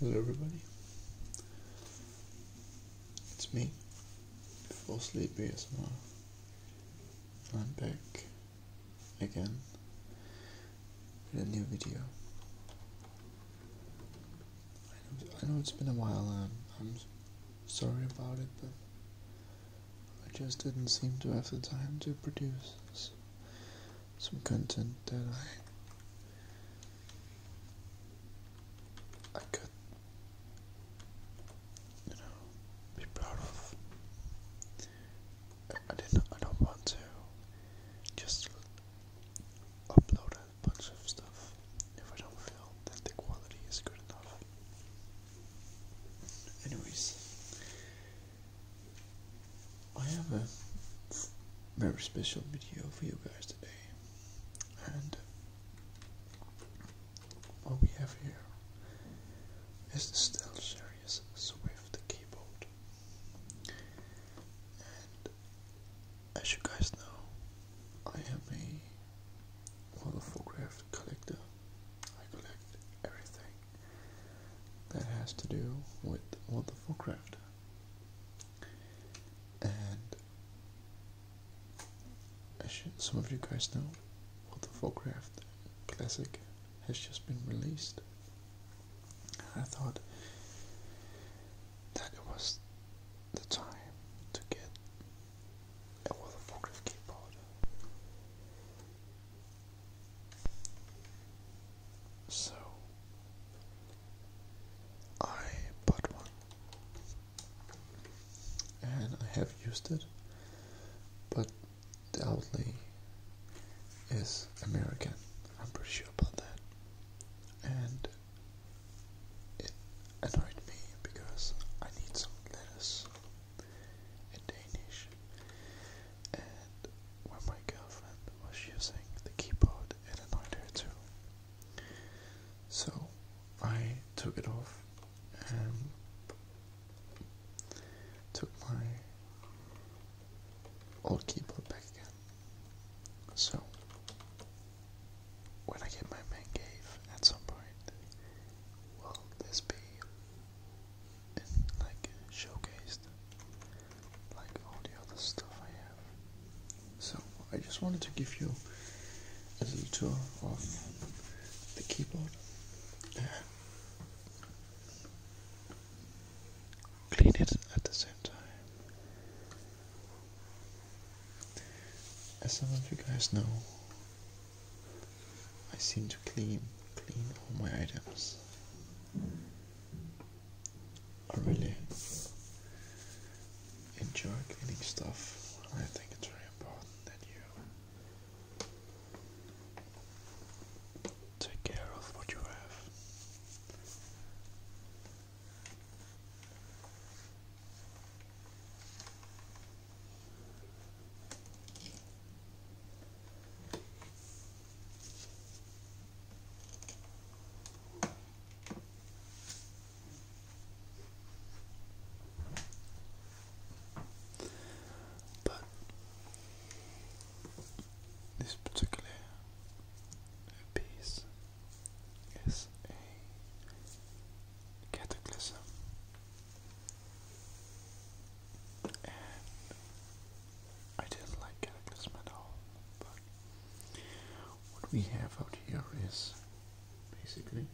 Hello everybody, it's me, Fall Sleep ASMR. I'm back again with a new video. I know, it's been a while, and um, I'm sorry about it, but I just didn't seem to have the time to produce some content that I I could you know be proud of. I didn't I don't want to just upload a bunch of stuff if I don't feel that the quality is good enough. Anyways, I have a very special video for you guys today, and what we have here is the Stealth Series Swift keyboard. And as you guys know, I am a World collector. I collect everything that has to do with wonderful craft. And as some of you guys know, World of Warcraft Classic has just been released. I thought that it was the time to get World of Warcraft keyboard. So I bought one and I have used it, but the outlet is American. I'm pretty sure about that. And it annoyed me because I need some letters in Danish and uh, when my girlfriend was using the keyboard, it annoyed her too. So I took it off and took my old keyboard back again. So when I get my man cave at some point, will this be and like showcased like all the other stuff I have. So I just wanted to give you a little tour of the keyboard. Clean it at the same time. As some of you guys know, I seem to clean clean all my items. I really enjoy cleaning stuff. I think it's very important that you take care of what you have. But this particular piece is a cataclysm I didn't like getting this medal, but what we have out here is basically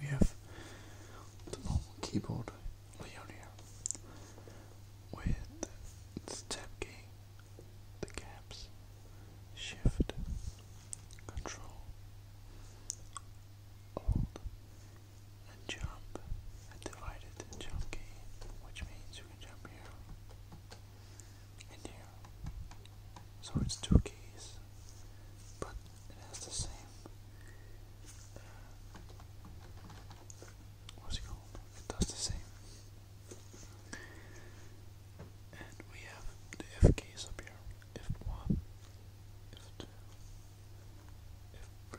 we have the normal keyboard layout here with the tab key, the caps, shift, control, alt, and jump and jump key, which means you can jump here and here. So it's two keys, but it has the same. Uh, what's it called? It does the same. And we have the F keys up here. F1, F2, F3,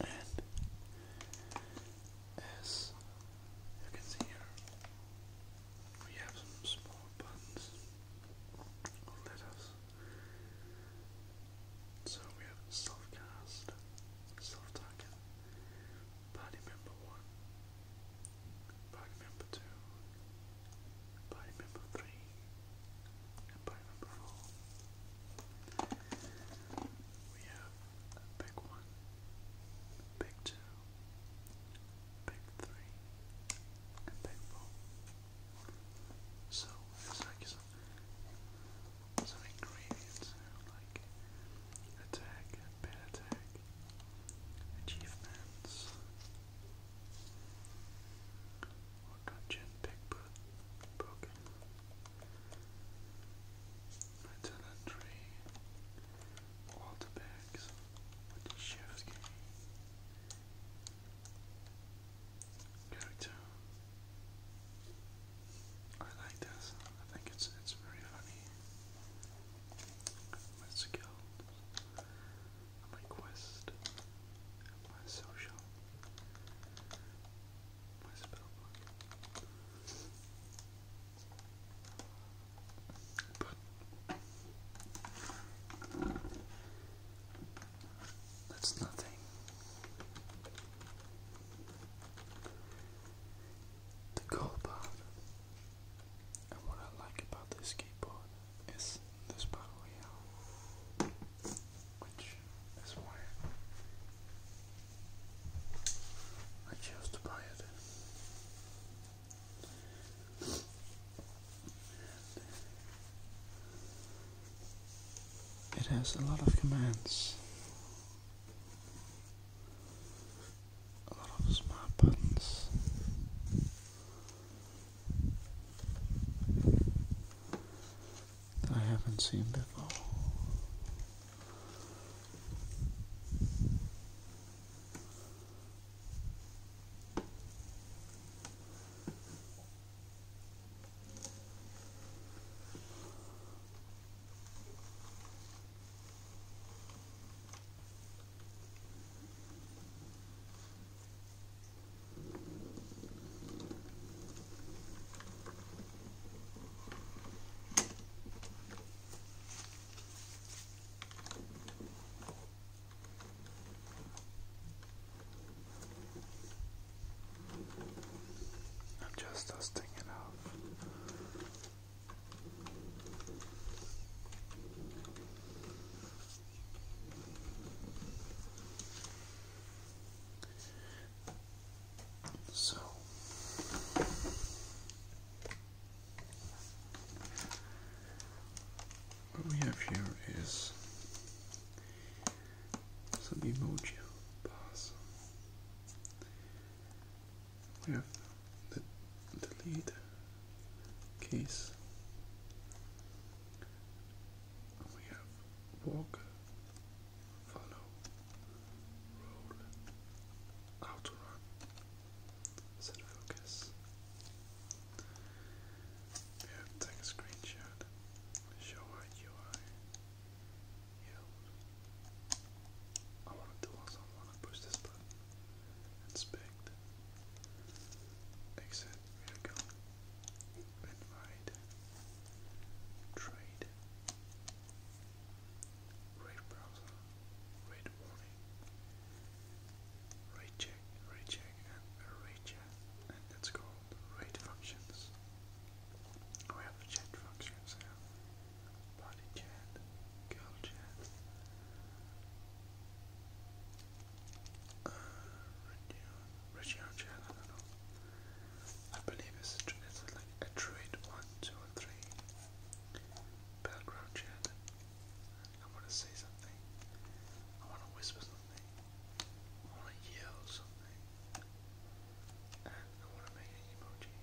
And as you can see here, we have some small buttons or letters. So we have self-cast, self-target, party member 1, party member 2, party member 3, and party member 4. We have big one, big two, big three, and big four. So it's like some, ingredients like attack, bad attack, achievements, dungeon, big book, book, Metallandry, Walter Bags with the character. I like this. I think it's it's very funny. My skills, my quest, my social that's nothing. The cool part and what I like about this keyboard is this battle royale which is why I chose to buy it. it has a lot of commands, a lot of smart buttons. I haven't seen before. I'm just dusting it off. So what we have here is some emoji bars. We have the delete case. We have walk follow, roll, outrun, set focus. We have take a screenshot, show our UI, yield. I want to do also, I want to push this button, inspect, exit, here we go. Invite, trade, rate browser, rate warning, rate check, rate check, and rate chat, and it's called rate functions. We have chat functions here, body chat, girl chat. Uh, Regio, chat, I don't know. I believe it's, it's like a trade one, two, and three. Background chat. I want to say something. I want to whisper something. I want to yell something. I want to make an emoji.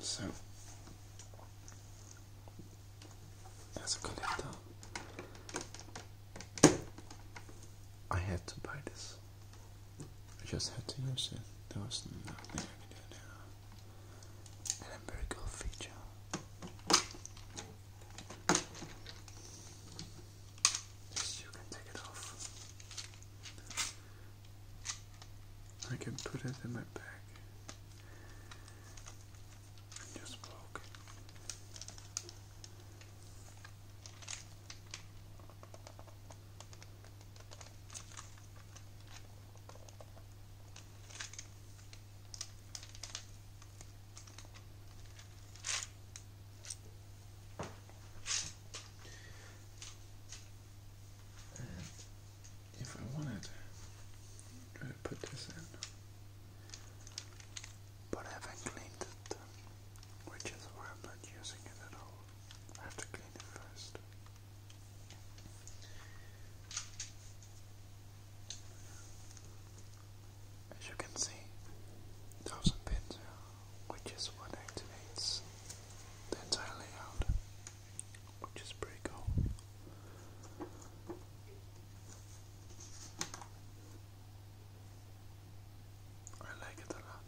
So as a collector, I had to buy this. I just had to use it. There was nothing I could do feature. Yes, you can take it off. I can put it in my bag. just broke if I wanted, to put this in, but I have cleaned it, which is why I'm not using it at all. I have to clean it first. As you can see, thousand pins, which is what activates the entire layout which is pretty cool. I like it a lot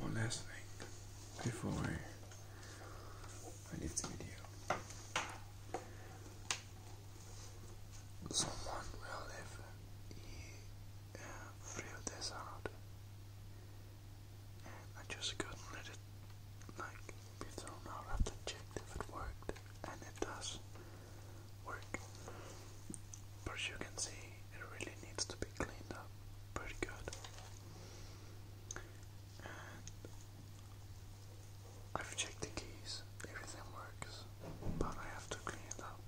one last thing before I leave the video. Someone will live he, uh, this out, and I just couldn't let it like be thrown out. I have to check if it worked, and it does work. But you can see it really needs to be cleaned up pretty good. I've checked the keys, everything works, but I have to clean it up.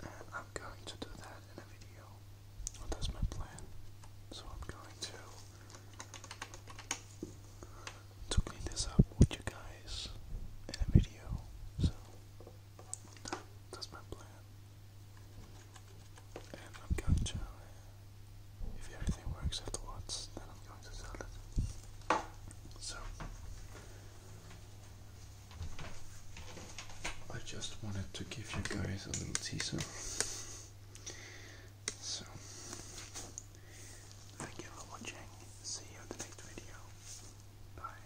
And I'm going to do that in a video. that's my plan. So I'm going to to clean this up with you guys in a video. So that's my plan. And I'm going to, uh, if everything works afterwards, then I'm going to sell it. So, I just wanted to give you guys a little teaser. So, thank you for watching. See you in the next video. Bye.